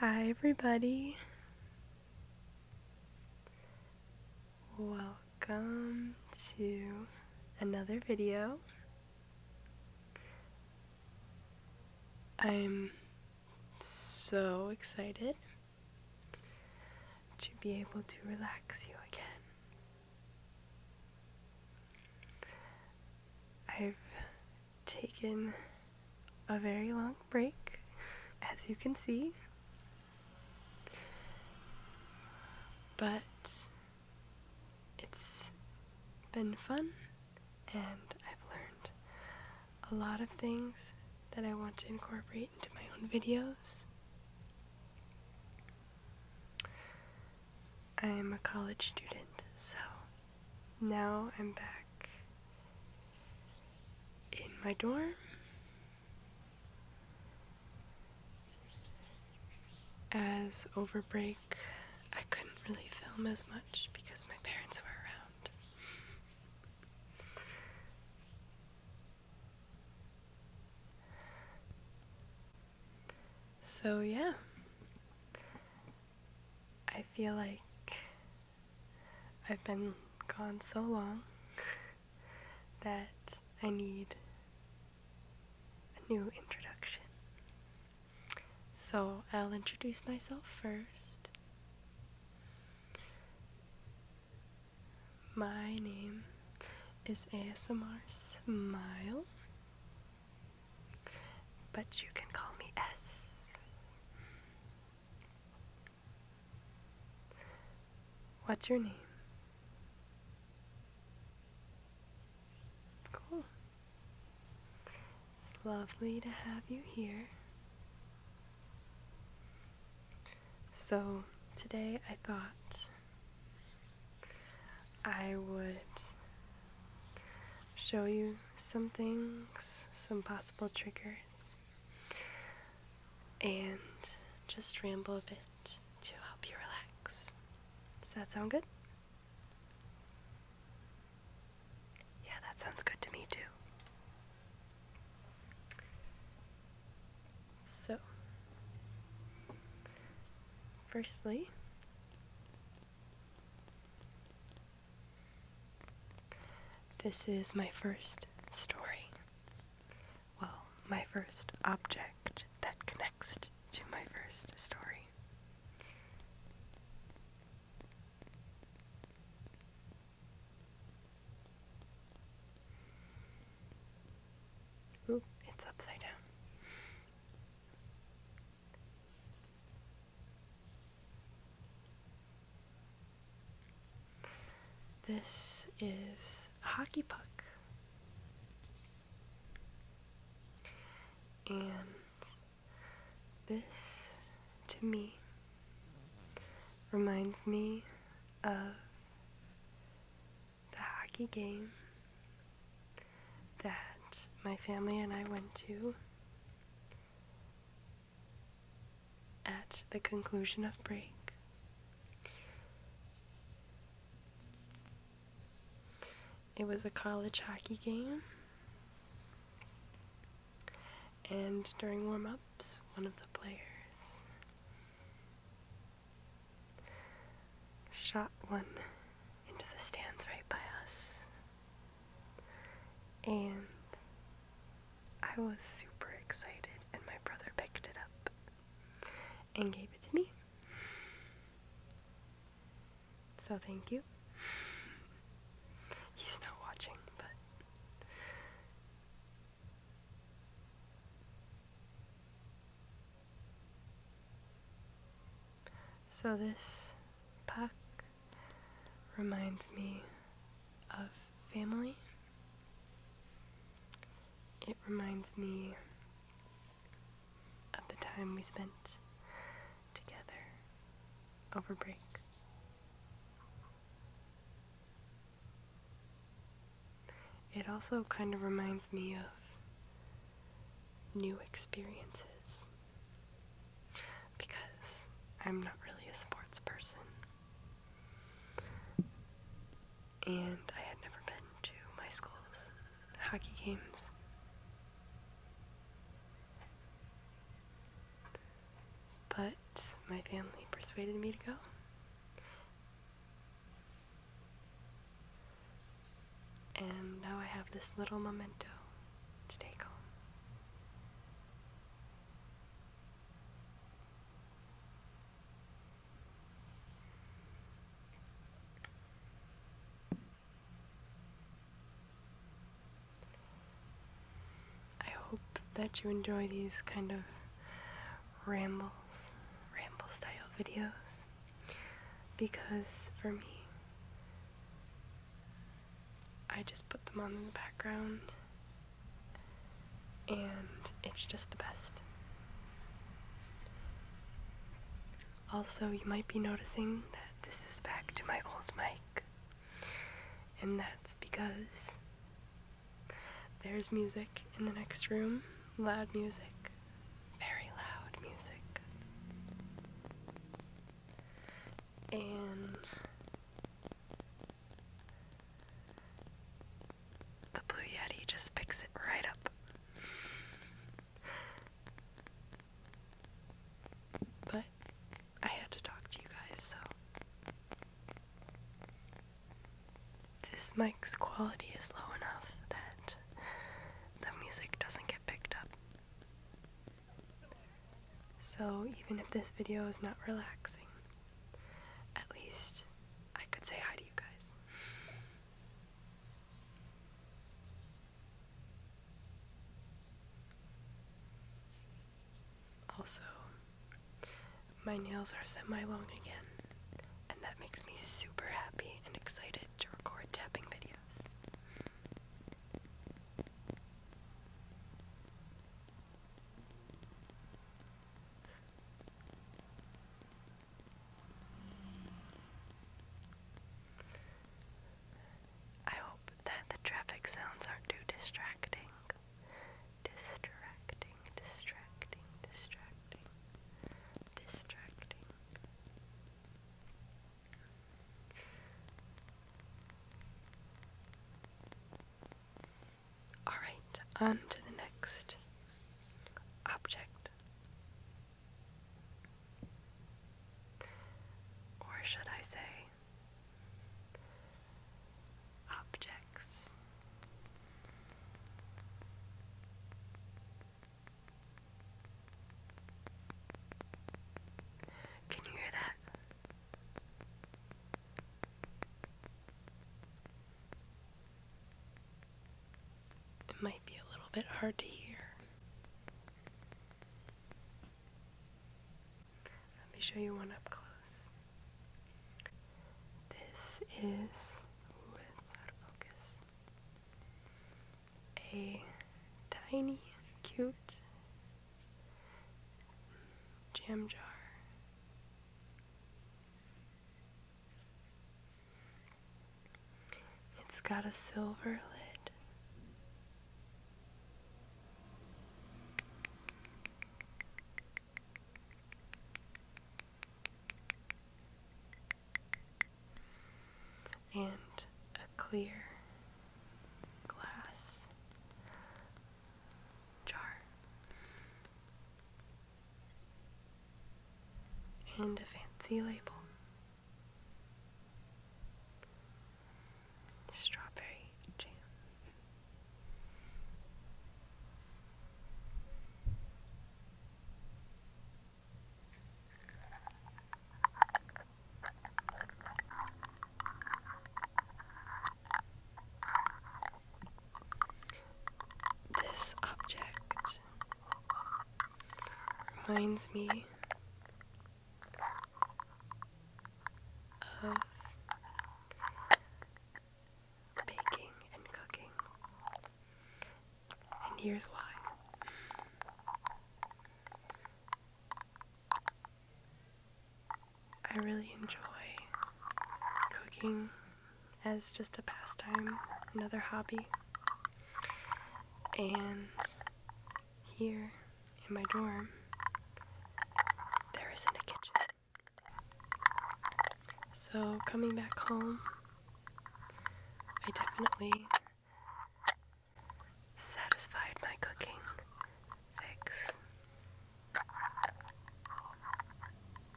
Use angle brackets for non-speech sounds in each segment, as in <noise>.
Hi, everybody. Welcome to another video. I'm so excited to be able to relax you again. I've taken a very long break, as you can see. But it's been fun, and I've learned a lot of things that I want to incorporate into my own videos. I am a college student, so now I'm back in my dorm. As over break, I couldn't really film as much because my parents were around. so, yeah. I feel like I've been gone so long that I need a new introduction. So I'll introduce myself first. My name is ASMR Smile, but you can call me S. What's your name? Cool. It's lovely to have you here. So, today I thought I would show you some things, some possible triggers, and just ramble a bit to help you relax. Does that sound good? Yeah, that sounds good to me too. So, firstly, this is my first story. Well, my first object that connects to my first story. Ooh, it's upside down. This is a hockey puck. And this, to me, reminds me of the hockey game that my family and I went to at the conclusion of break. It was a college hockey game. And during warm ups, one of the players shot one into the stands right by us. And I was super excited, and my brother picked it up and gave it to me. So thank you. He's not watching, but. So this puck reminds me of family. It reminds me of the time we spent together over break. It also kind of reminds me of new experiences because I'm not really a sports person. And I had never been to my school's hockey games. But my family persuaded me to go. And now I have this little memento to take home. I hope that you enjoy these kind of rambles, ramble style videos because for me, I just put them on in the background, and it's just the best. Also, you might be noticing that this is back to my old mic, and that's because there's music in the next room, loud music, very loud music. And the Blue Yeti just picks it right up. But I had to talk to you guys, so. This mic's quality is low enough that the music doesn't get picked up. So, even if this video is not relaxing, at least I could say hi to you guys. Also, my nails are semi long again, and that makes me super happy and excited to record tapping videos. I hope that the traffic sounds aren't too distracting. Distracting, distracting, distracting, distracting. Alright, on to the next object. Or should I say, objects? Can you hear that? It might be a little bit hard to hear. Let me show you one up close. This is, ooh, it's out of focus, a tiny, cute jam jar. It's got a silver lid. And a clear glass jar and a fancy label. Strawberry jam. This object reminds me of baking and cooking, and here's why. I really enjoy cooking as just a pastime, another hobby. And here in my dorm, there isn't a kitchen. So, coming back home, I definitely satisfied my cooking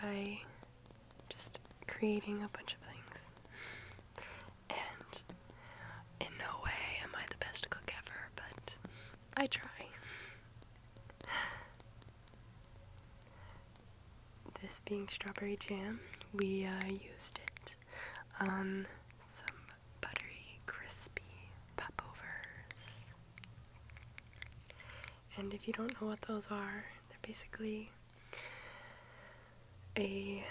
by just creating a bunch of things. And in no way am I the best cook ever, but I try. This being strawberry jam, we uh, used it on some buttery, crispy popovers. And if you don't know what those are, they're basically a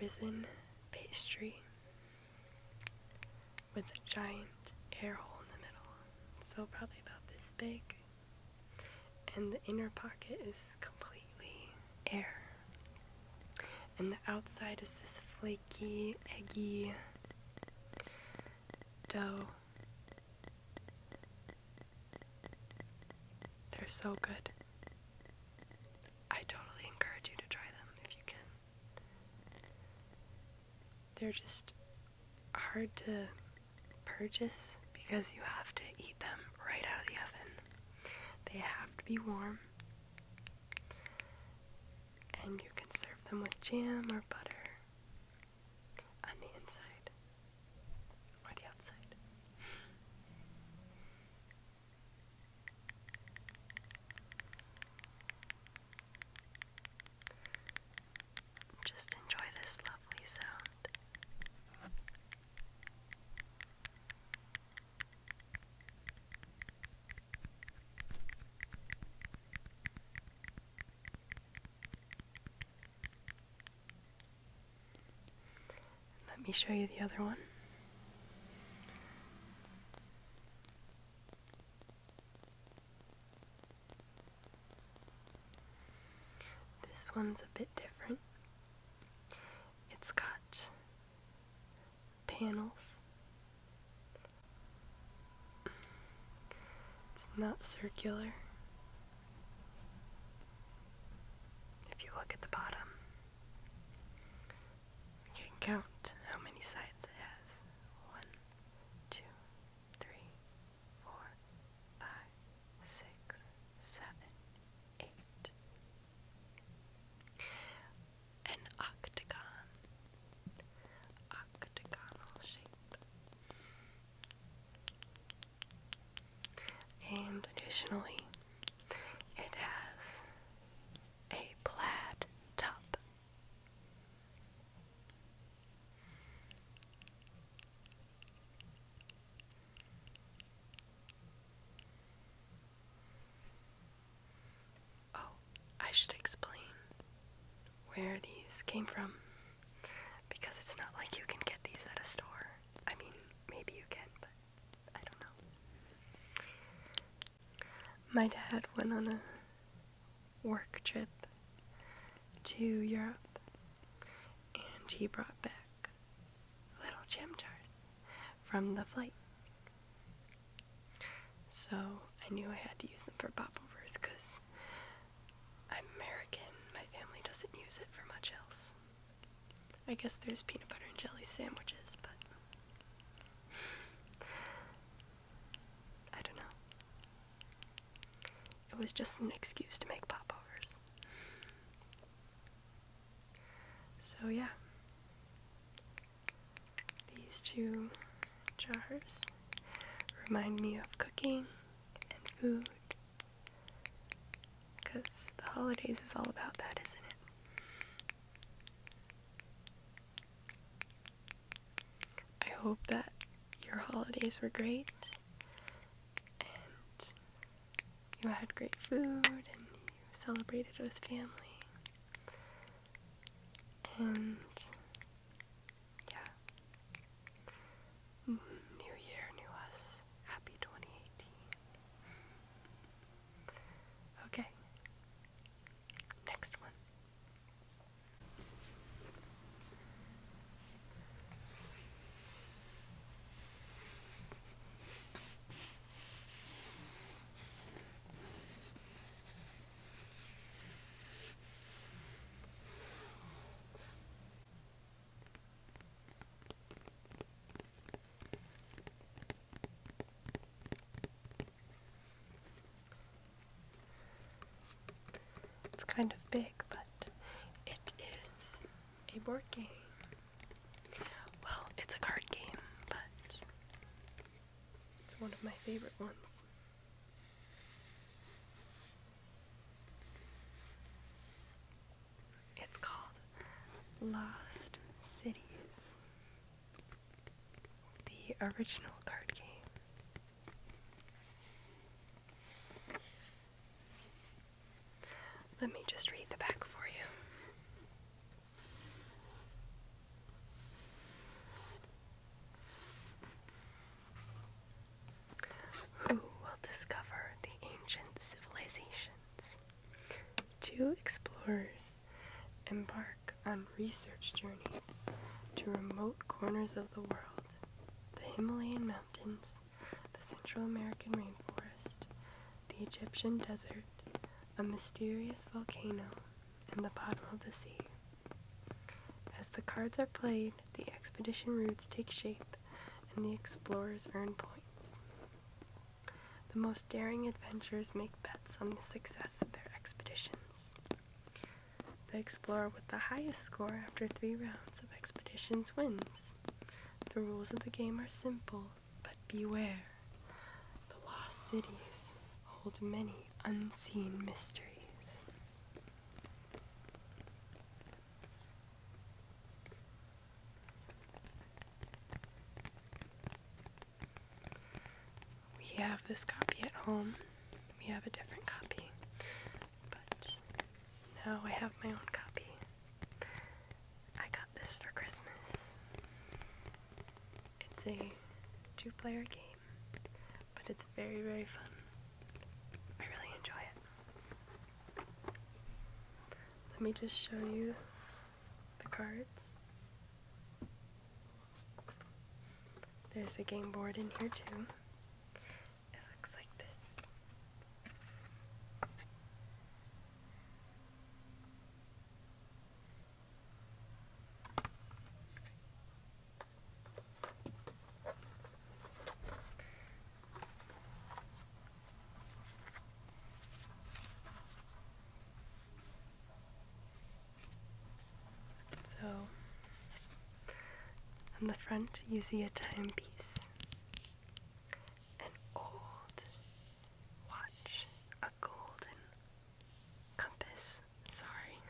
risen pastry with a giant air hole in the middle. So, probably about this big. And the inner pocket is complete air. And the outside is this flaky, eggy dough. They're so good. I totally encourage you to try them if you can. They're just hard to purchase because you have to eat them right out of the oven. They have to be warm. And you can serve them with jam or butter on the inside or the outside. Just enjoy this lovely sound. Let me show you the other one. This one's a bit different. It's got panels. It's not circular. If you look at the bottom, you can count how many sides it has. One, two, three, four, five, six, seven, eight, an octagon. Octagonal shape. And additionally, it has a plaid top. Oh, I should explain where these came from because it's not like you can get these at a store. I mean, maybe you can, but I don't know. My dad went on a work trip to Europe and he brought back little gem jars from the flight so I knew I had to use them for popovers because I'm American. My family doesn't use it for much else. I guess there's peanut butter and jelly sandwiches, but I don't know. It was just an excuse to make popovers. So yeah. These two jars remind me of cooking and food because the holidays is all about that, isn't it? I hope that your holidays were great and you had great food and you celebrated with family and yeah, mm, new year, new us. Happy 2018. Okay, next one. It's kind of big, but it is a board game. Well, it's a card game, but it's one of my favorite ones. It's called Lost Cities, the original card game. Let me just read the back for you. Who will discover the ancient civilizations? Two explorers embark on research journeys to remote corners of the world the Himalayan mountains, the Central American rainforest, the Egyptian desert, a mysterious volcano, in the bottom of the sea. As the cards are played, the expedition routes take shape and the explorers earn points. The most daring adventurers make bets on the success of their expeditions. The explorer with the highest score after three rounds of expeditions wins. The rules of the game are simple, but beware. The lost cities hold many unseen mysteries. We have this copy at home. We have a different copy. But now I have my own copy. I got this for Christmas. It's a two player game, but it's very, very fun. I really enjoy it. Let me just show you the cards. There's a game board in here too. It looks like this. So, on the front, you see a timepiece, an old watch golden compass. Sorry.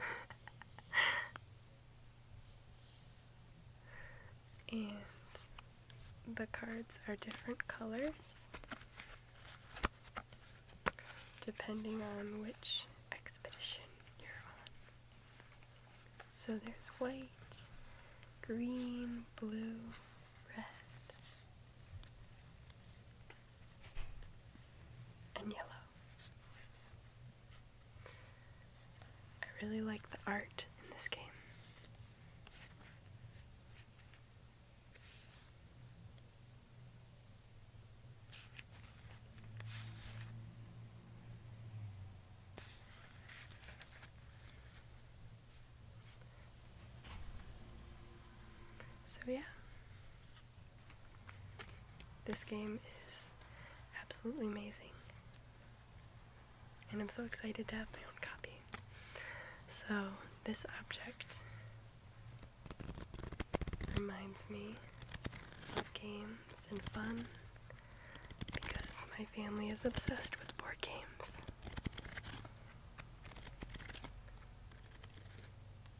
<laughs> and the cards are different colors depending on which expedition you're on. So there's white, green, blue, red and yellow. I really like the art in this game. So, yeah, this game is absolutely amazing. And I'm so excited to have my own copy. So, this object reminds me of games and fun because my family is obsessed with board games.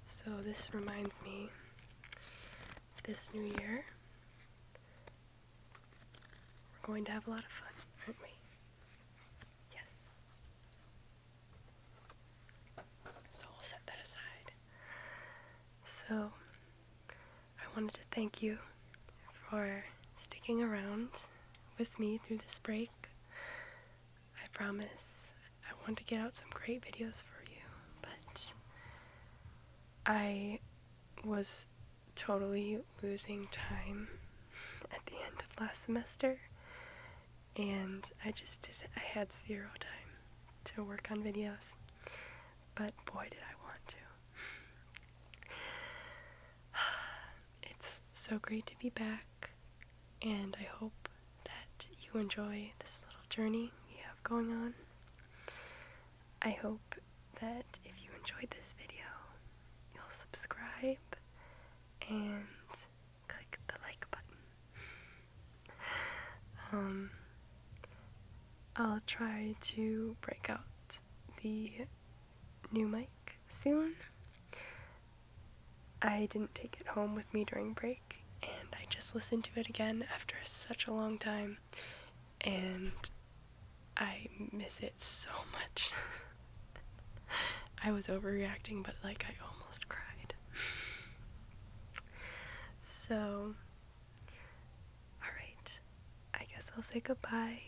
So this reminds me this new year we're going to have a lot of fun, aren't we? Yes. So we'll set that aside. So I wanted to thank you for sticking around with me through this break. I promise I want to get out some great videos for you, but I was totally losing time at the end of last semester and I just did I had zero time to work on videos. But boy did I want to. <sighs> it's so great to be back and I hope that you enjoy this little journey we have going on. I hope that if you enjoyed this video, you'll subscribe and click the like button. <laughs> um, I'll try to break out the new mic soon. I didn't take it home with me during break, and I just listened to it again after such a long time, and I miss it so much. <laughs> I was overreacting, but like I almost cried. <laughs> so, alright, I guess I'll say goodbye.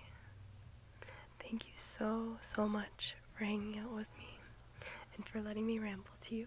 Thank you so, so much for hanging out with me and for letting me ramble to you